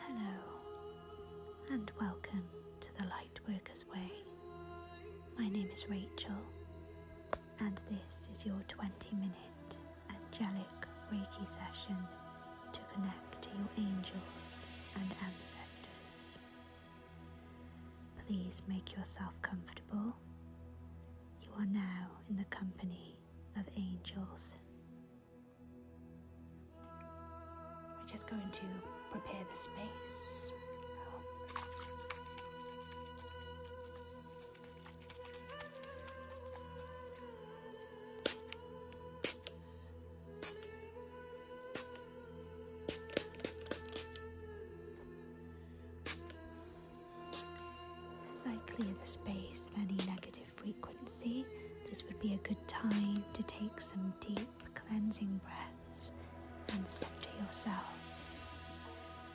Hello, and welcome to the Lightworkers Way. My name is Rachel, and this is your 20 minute angelic Reiki session to connect to your angels and ancestors. Please make yourself comfortable. You are now in the company of angels. We're just going to prepare the space. As I clear the space of any negative frequency, this would be a good time to take some deep cleansing breaths and center yourself.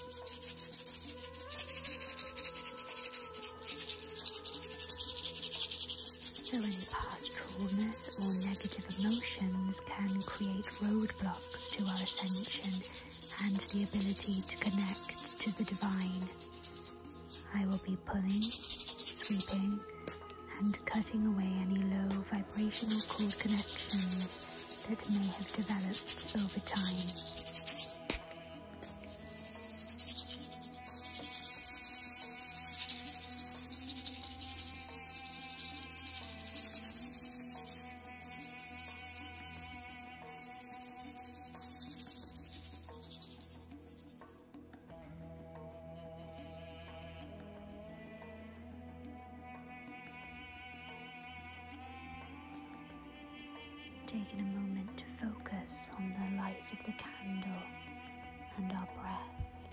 So any past traumas or negative emotions can create roadblocks to our ascension and the ability to connect to the divine. I will be pulling, sweeping, and cutting away any low vibrational cord connections that may have developed over time. Taking a moment to focus on the light of the candle and our breath,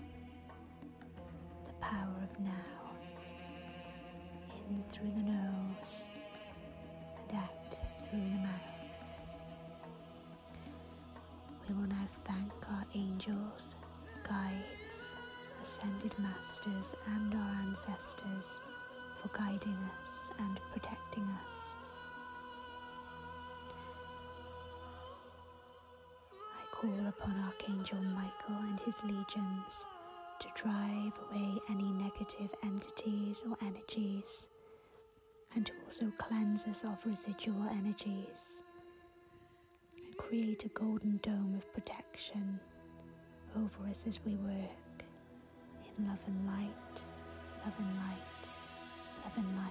the power of now, in through the nose and out through the mouth. We will now thank our angels, guides, ascended masters, and our ancestors for guiding us and protecting us. I call upon Archangel Michael and his legions to drive away any negative entities or energies and to also cleanse us of residual energies and create a golden dome of protection over us as we work in love and light, love and light, love and light.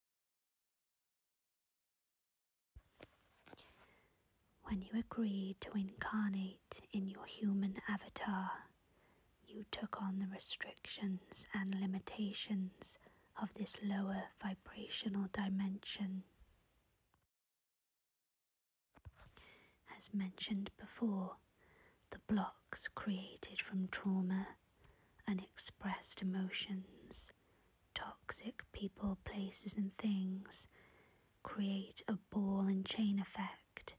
When you agreed to incarnate in your human avatar, you took on the restrictions and limitations of this lower vibrational dimension. As mentioned before, the blocks created from trauma and expressed emotions toxic people, places, and things create a ball and chain effect,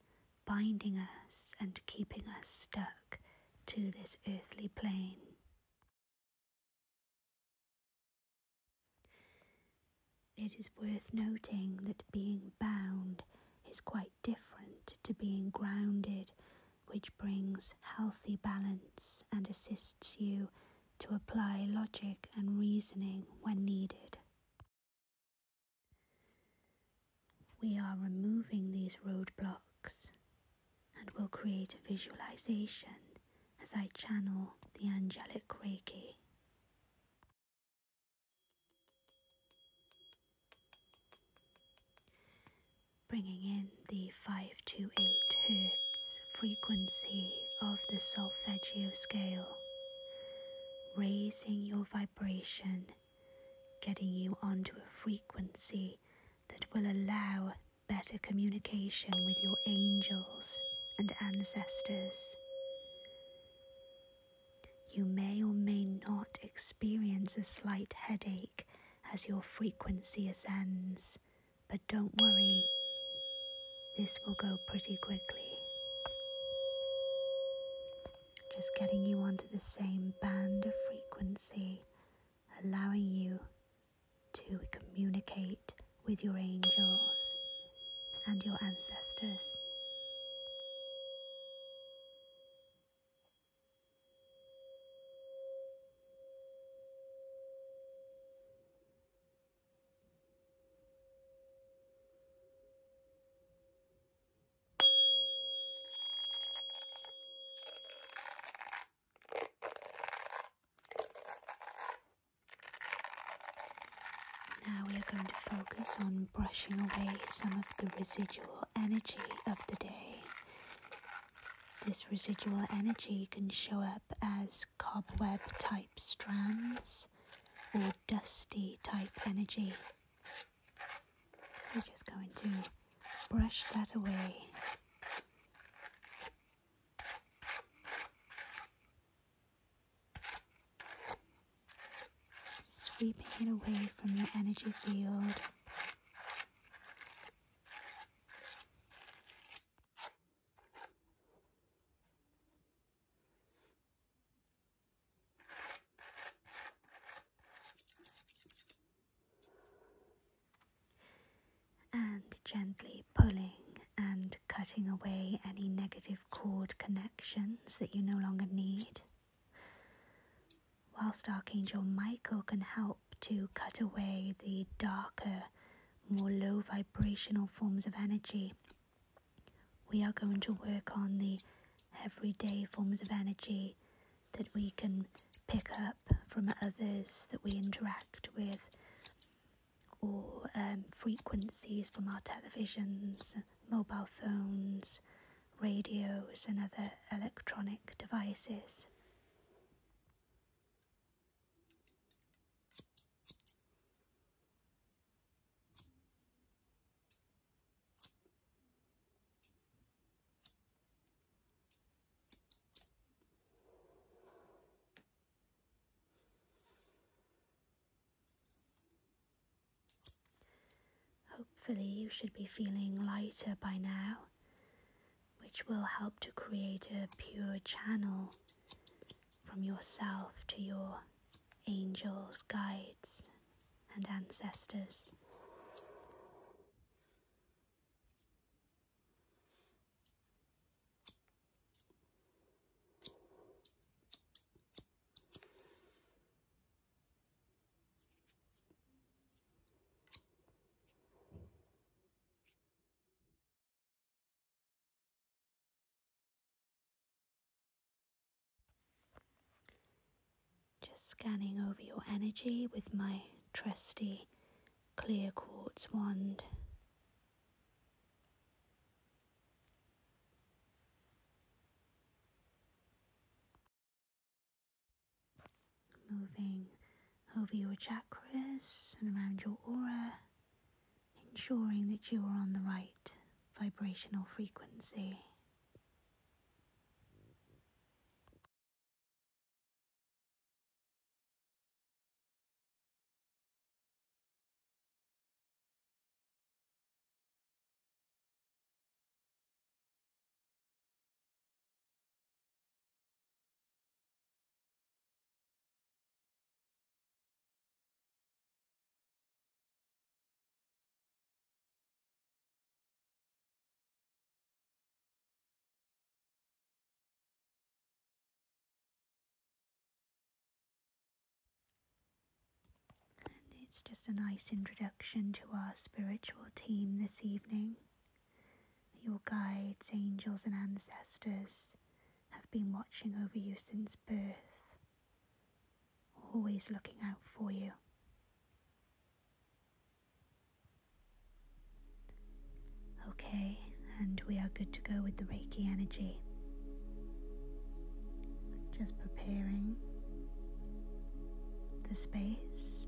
binding us and keeping us stuck to this earthly plane. It is worth noting that being bound is quite different to being grounded, which brings healthy balance and assists you to apply logic and reasoning when needed. We are removing these roadblocks and we will create a visualization as I channel the angelic Reiki. Bringing in the 528 Hz frequency of the solfeggio scale, raising your vibration, getting you onto a frequency that will allow better communication with your angels and ancestors. You may or may not experience a slight headache as your frequency ascends but don't worry, this will go pretty quickly. Just getting you onto the same band of frequency, allowing you to communicate with your angels and your ancestors. Now we are going to focus on brushing away some of the residual energy of the day this residual energy can show up as cobweb type strands or dusty type energy. So we're just going to brush that away. Sweeping it away from your energy field. And gently pulling and cutting away any negative cord connections that you no longer need. Whilst Archangel Michael can help to cut away the darker more low vibrational forms of energy. We are going to work on the everyday forms of energy that we can pick up from others that we interact with, or um, frequencies from our televisions, mobile phones, radios, and other electronic devices. Hopefully, you should be feeling lighter by now which will help to create a pure channel from yourself to your angels, guides, and ancestors. Just scanning over your energy with my trusty clear quartz wand. Moving over your chakras and around your aura, ensuring that you are on the right vibrational frequency it's just a nice introduction to our spiritual team this evening. Your guides, angels, and ancestors have been watching over you since birth, always looking out for you. Okay, and we are good to go with the Reiki energy. Just preparing the space.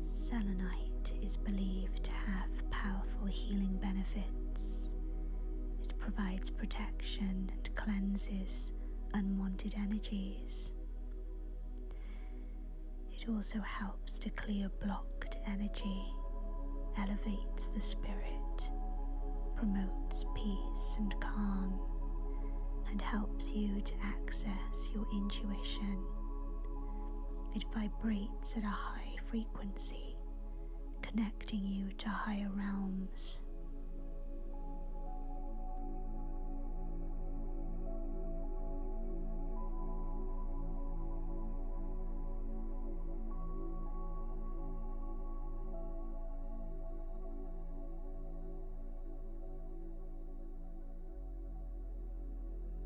Selenite is believed to have powerful healing benefits. It provides protection and cleanses unwanted energies. It also helps to clear blocked energy, elevates the spirit, promotes peace and calm, and helps you to access your intuition. It vibrates at a high frequency connecting you to higher realms.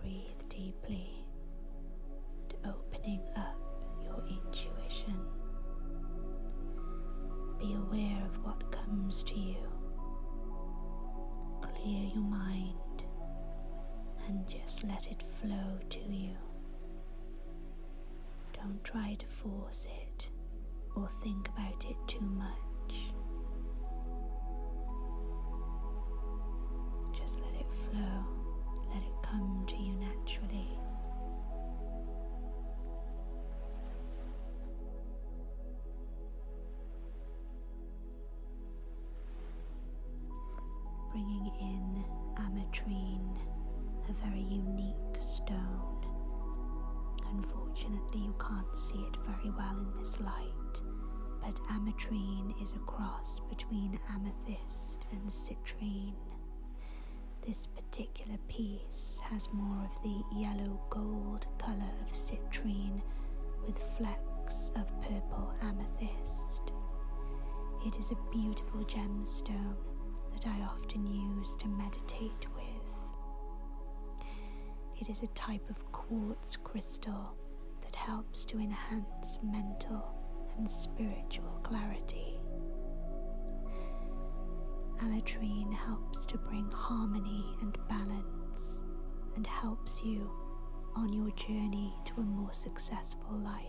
breathe deeply and opening up your intuition. Be aware of what comes to you. Clear your mind and just let it flow to you. Don't try to force it or think about it too much. Just let it flow, let it come to you naturally. Bringing in ametrine, a very unique stone. Unfortunately, you can't see it very well in this light but ametrine is a cross between amethyst and citrine. This particular piece has more of the yellow gold colour of citrine with flecks of purple amethyst. It is a beautiful gemstone that I often use to meditate with. It is a type of quartz crystal that helps to enhance mental and spiritual clarity. Ametrine helps to bring harmony and balance and helps you on your journey to a more successful life.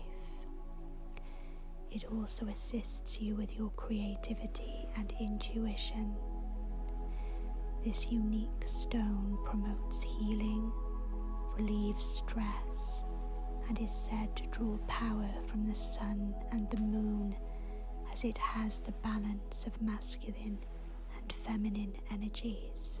It also assists you with your creativity and intuition this unique stone promotes healing, relieves stress, and is said to draw power from the sun and the moon as it has the balance of masculine and feminine energies.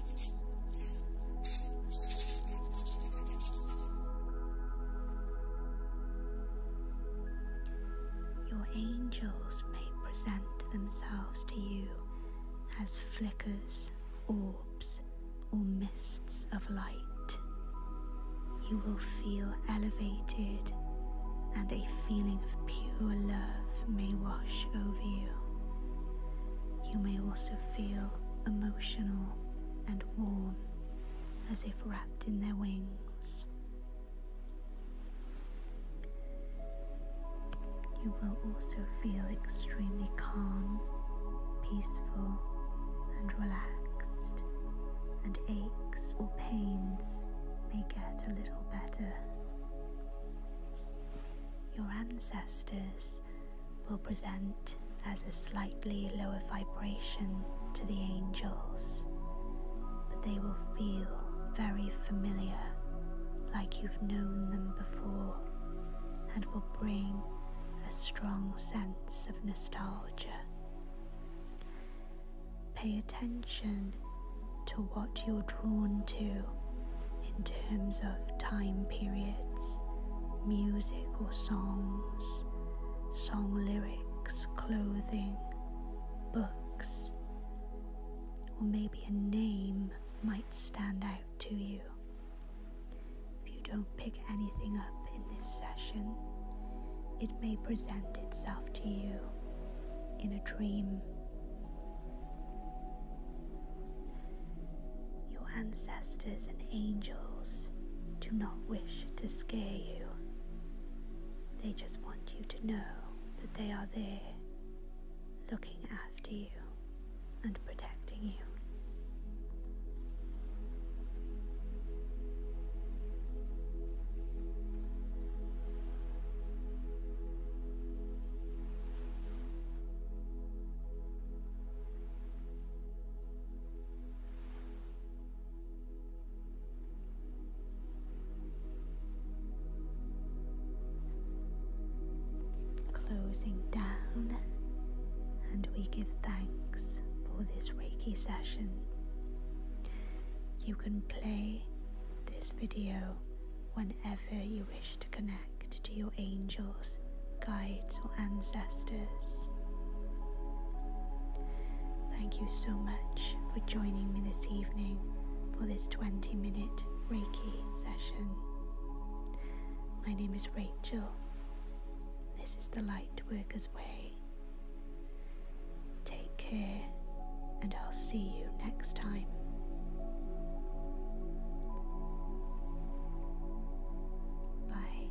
Your angels may present themselves to you as flickers, orbs, or mists of light. You will feel elevated and a feeling of pure love may wash over you. You may also feel emotional and warm as if wrapped in their wings. You will also feel extremely calm, peaceful, and relaxed, and aches or pains may get a little better. Your ancestors will present as a slightly lower vibration to the angels, but they will feel very familiar, like you've known them before, and will bring a strong sense of nostalgia. Pay attention to what you're drawn to in terms of time periods, music or songs, song lyrics, clothing, books, or maybe a name might stand out to you. If you don't pick anything up in this session, it may present itself to you in a dream. Your ancestors and angels do not wish to scare you. They just want you to know that they are there, looking after you and protecting you. Closing down, and we give thanks for this Reiki session. You can play this video whenever you wish to connect to your angels, guides, or ancestors. Thank you so much for joining me this evening for this 20 minute Reiki session. My name is Rachel. This is the Lightworker's Way. Take care, and I'll see you next time. Bye.